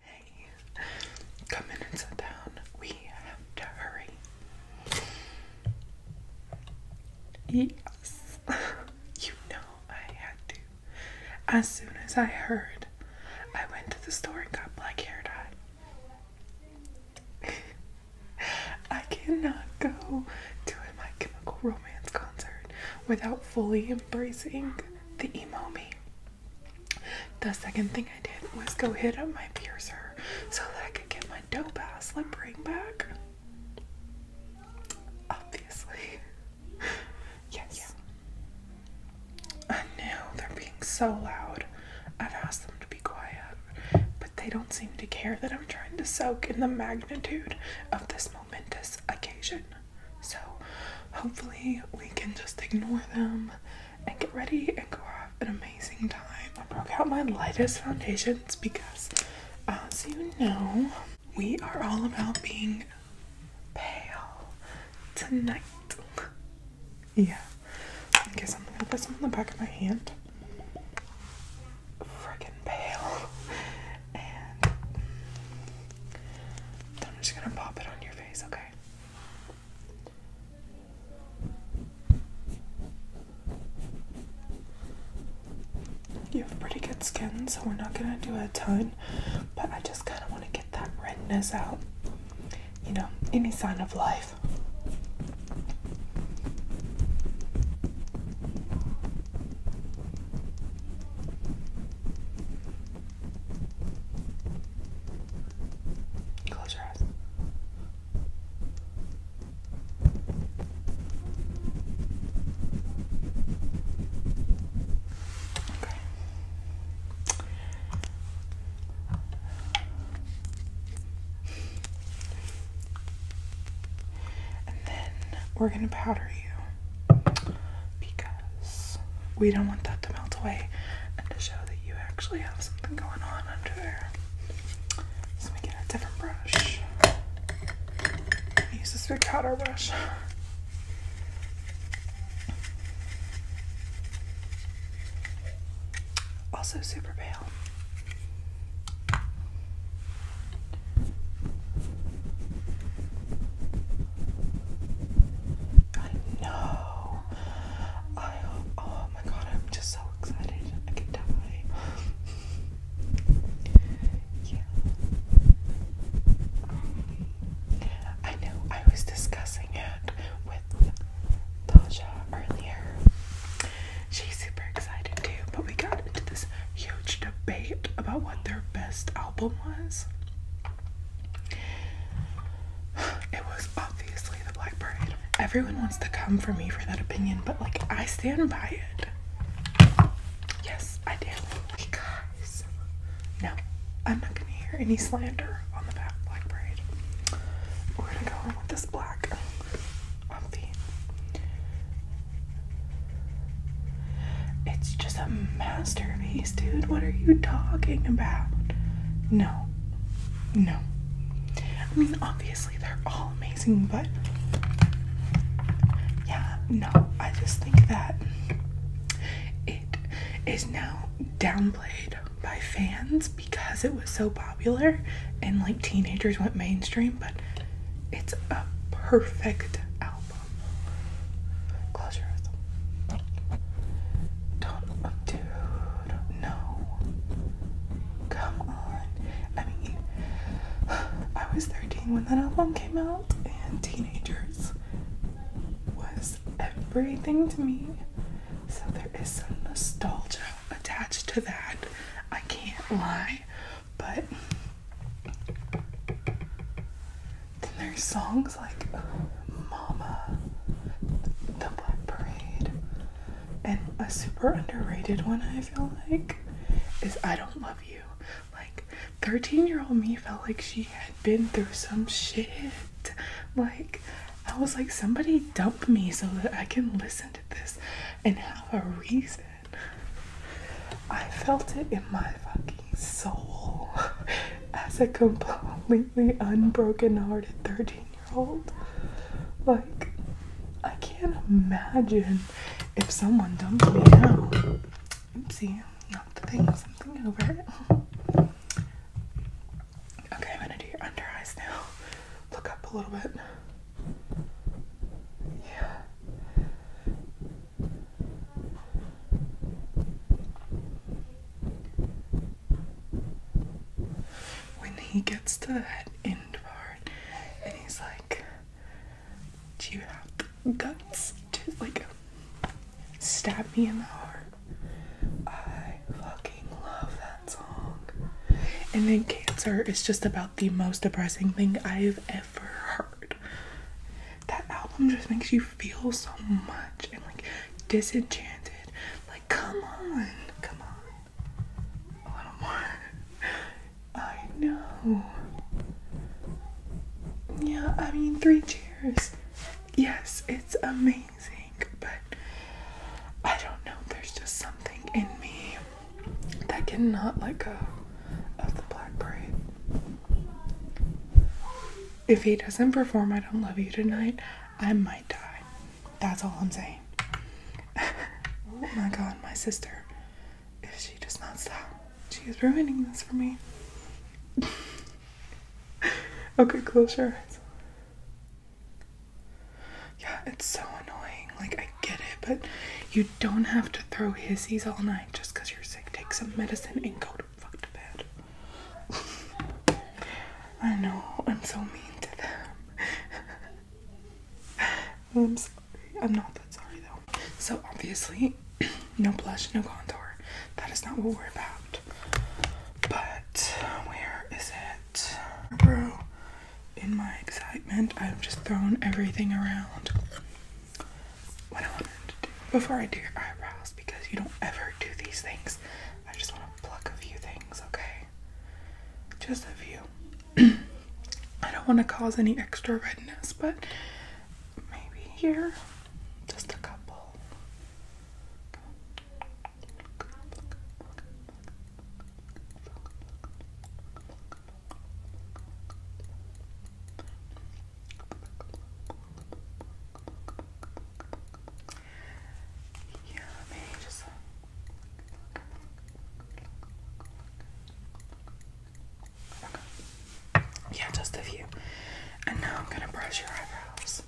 Hey, come in and sit down. We have to hurry. Yes, you know I had to. As soon as I heard, I went to the store and got black hair dye. I cannot go to My Chemical Romance concert without fully embracing the emo me. The second thing I did was go hit up my piercer so that I could get my dope ass ring back. Obviously. Yes. I know they're being so loud. I've asked them to be quiet, but they don't seem to care that I'm trying to soak in the magnitude of this momentous occasion. So hopefully we can just ignore them and get ready and go have an amazing time. I broke out my lightest foundations because as uh, you know, we are all about being pale tonight. Yeah. Okay, so I'm gonna put some on the back of my hand. Freaking pale. I'm just gonna pop it on your face, okay? You have pretty good skin, so we're not gonna do a ton, but I just kind of want to get that redness out. You know, any sign of life. Close your eyes. Okay. And then we're going to powder you because we don't want that to melt away and to show that you actually have something going on under there. So we get a different brush. use this big powder brush. Also super pale. I know. I Oh my god, I'm just so excited. I could die. yeah. I know. I was discussing it with Tasha earlier. She's super excited too, but we got into this huge debate about what their best album was. It was obviously The Black Parade. Everyone wants to come for me for that opinion, but like I stand by it. Yes, I do. Hey no, I'm not gonna hear any slander on the Black Parade. We're gonna go on with this black um, it's just a masterpiece, dude. What are you talking about? No. No. I mean, obviously, they're all amazing, but yeah, no. I just think that it is now downplayed by fans because it was so popular and like teenagers went mainstream, but it's a perfect album. Close your eyes. Don't do no. Come on. I mean, I was 13 when that album came out, and teenagers was everything to me. So there is some nostalgia attached to that. I can't lie. But then there's songs like Mama, The Black Parade, and a super underrated one I feel like is I Don't Love You. Like 13 year old me felt like she had been through some shit. Like I was like somebody dump me so that I can listen to this and have a reason I felt it in my fucking soul as a completely unbroken hearted 13 year old. Like, I can't imagine if someone dumped me now. Oopsie, not the thing, something over it. Okay, I'm gonna do your under eyes now. Look up a little bit. Yeah. When he gets to that end part and he's like, Do you have guts to like stab me in the heart? I fucking love that song. And then Cancer is just about the most depressing thing I've ever heard. That album just makes you feel so much and like disenchanted. Like, come on, come on. A little more. I know. Yeah, I mean, three cheers. Yes, it's amazing, but I don't know. There's just something in me that cannot let go of the black braid. If he doesn't perform I Don't Love You tonight, I might die. That's all I'm saying. oh my god, my sister. If she does not stop, she is ruining this for me. okay, close your eyes. Yeah, it's so annoying. Like, I get it, but you don't have to throw hisses all night just because you're sick. Take some medicine and go to fuck bed. I know, I'm so mean to them. I'm sorry. I'm not that sorry though. So obviously, no blush, no contour. That is not what we're about. But where is it? Bro, in my excitement, I've just thrown everything around. What I wanted to do before I do your eyebrows, because you don't ever do these things, I just want to pluck a few things, okay? Just a few. I don't want to cause any extra redness, but maybe here, just a couple. Yeah, just Yeah, just a few. And now I'm gonna brush your eyebrows.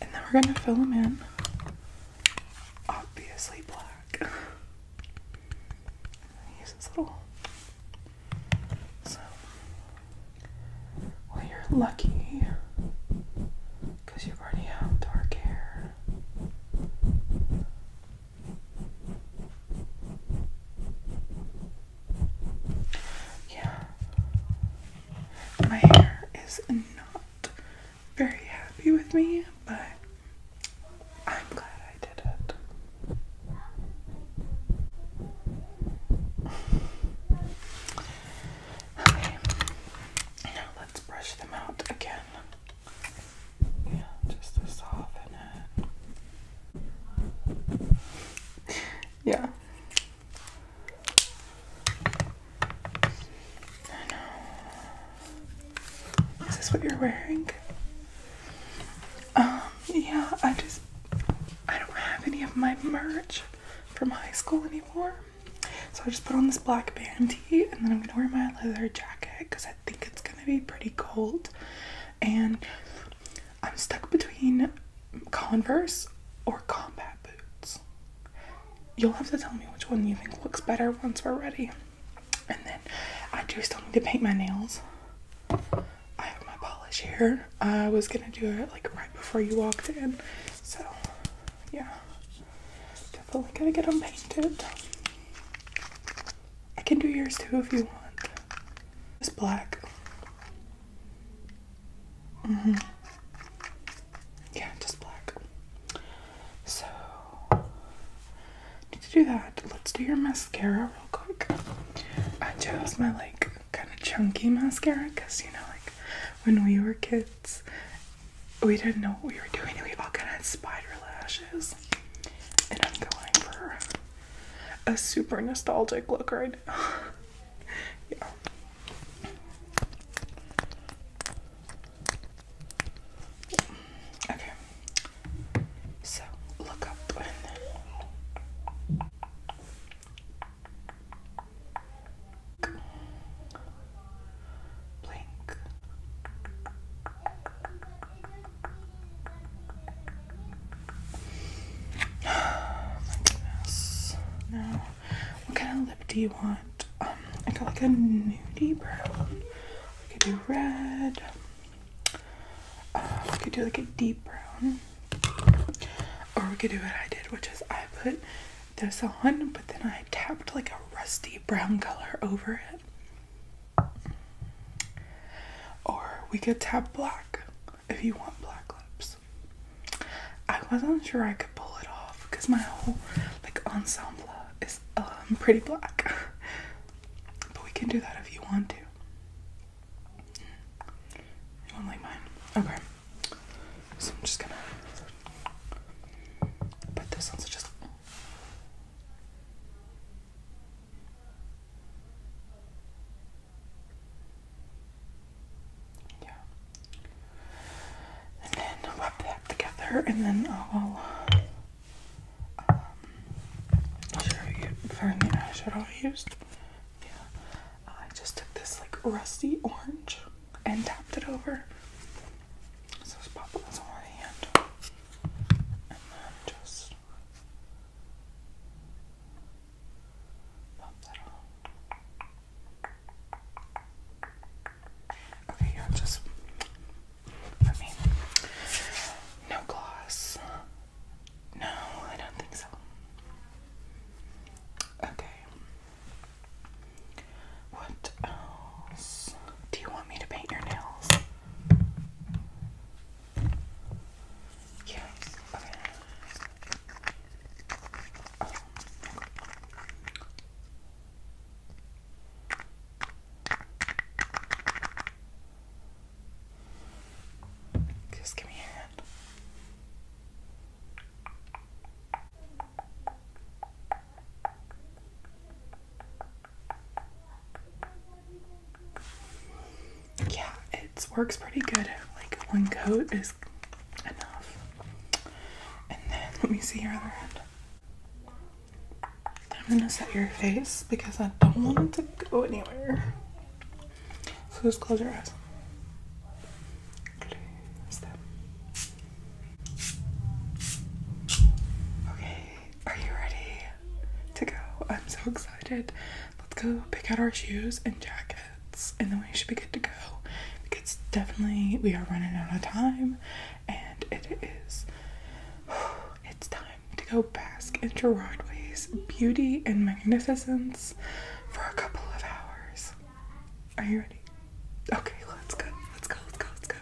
And then we're going to fill them in. Obviously black. use this little. So, well, you're lucky because you already have dark hair. Yeah. My hair is not very happy with me, but I'm glad I did it. Okay. Now let's brush them out again. Yeah, just to soften it. Yeah. I know. Is this what you're wearing? Um, yeah, I just I don't have any of my merch from high school anymore. So I just put on this black band tee and then I'm gonna wear my leather jacket because I think it's gonna be pretty cold and I'm stuck between Converse or combat boots. You'll have to tell me which one you think looks better once we're ready. And then I do still need to paint my nails. I have my polish here. I was gonna do it like right before you walked in. So yeah. Definitely gotta get them painted. I can do yours too if you want. It's black. Mm hmm Yeah, just black. So to do that, let's do your mascara real quick. I chose my like kind of chunky mascara because you know like when we were kids we didn't know what we were doing and we all kind of had spider lashes. And I'm going for a super nostalgic look right now. yeah. Okay. So look up blink my goodness. Now, what kind of lip do you want? Um, I got like a nudie brown. We could do red. Uh, we could do like a deep brown. Or we could do what I did, which is I put this on, but then I tapped like a rusty brown color over it. Or we could tap black if you want black lips. I wasn't sure I could pull it off because my whole like ensemble is um pretty black. but we can do that if you want to. You want like mine? Okay. So I'm just gonna put this on so just and then I'll wrap that together, and then I'll um, show you find the eyeshadow I used. Yeah, I just took this like rusty orange and tapped it over. So just pop this on one hand, and then just Okay, yeah, just for me. No gloss. No, I don't think so. Okay. What else? Do you want me to paint your nails? Just give me a hand. Okay yeah, it works pretty good. Like one coat is enough. And then let me see your other hand. I'm gonna set your face because I don't want it to go anywhere. So just close your eyes. Okay, are you ready to go? I'm so excited. Let's go pick out our shoes and jackets, and then we should be good to go. It's definitely we are running out of time, and it is. It's time to go bask in Gerardway's beauty and magnificence for a couple of hours. Are you ready? Okay, let's go. Let's go. Let's go. Let's go.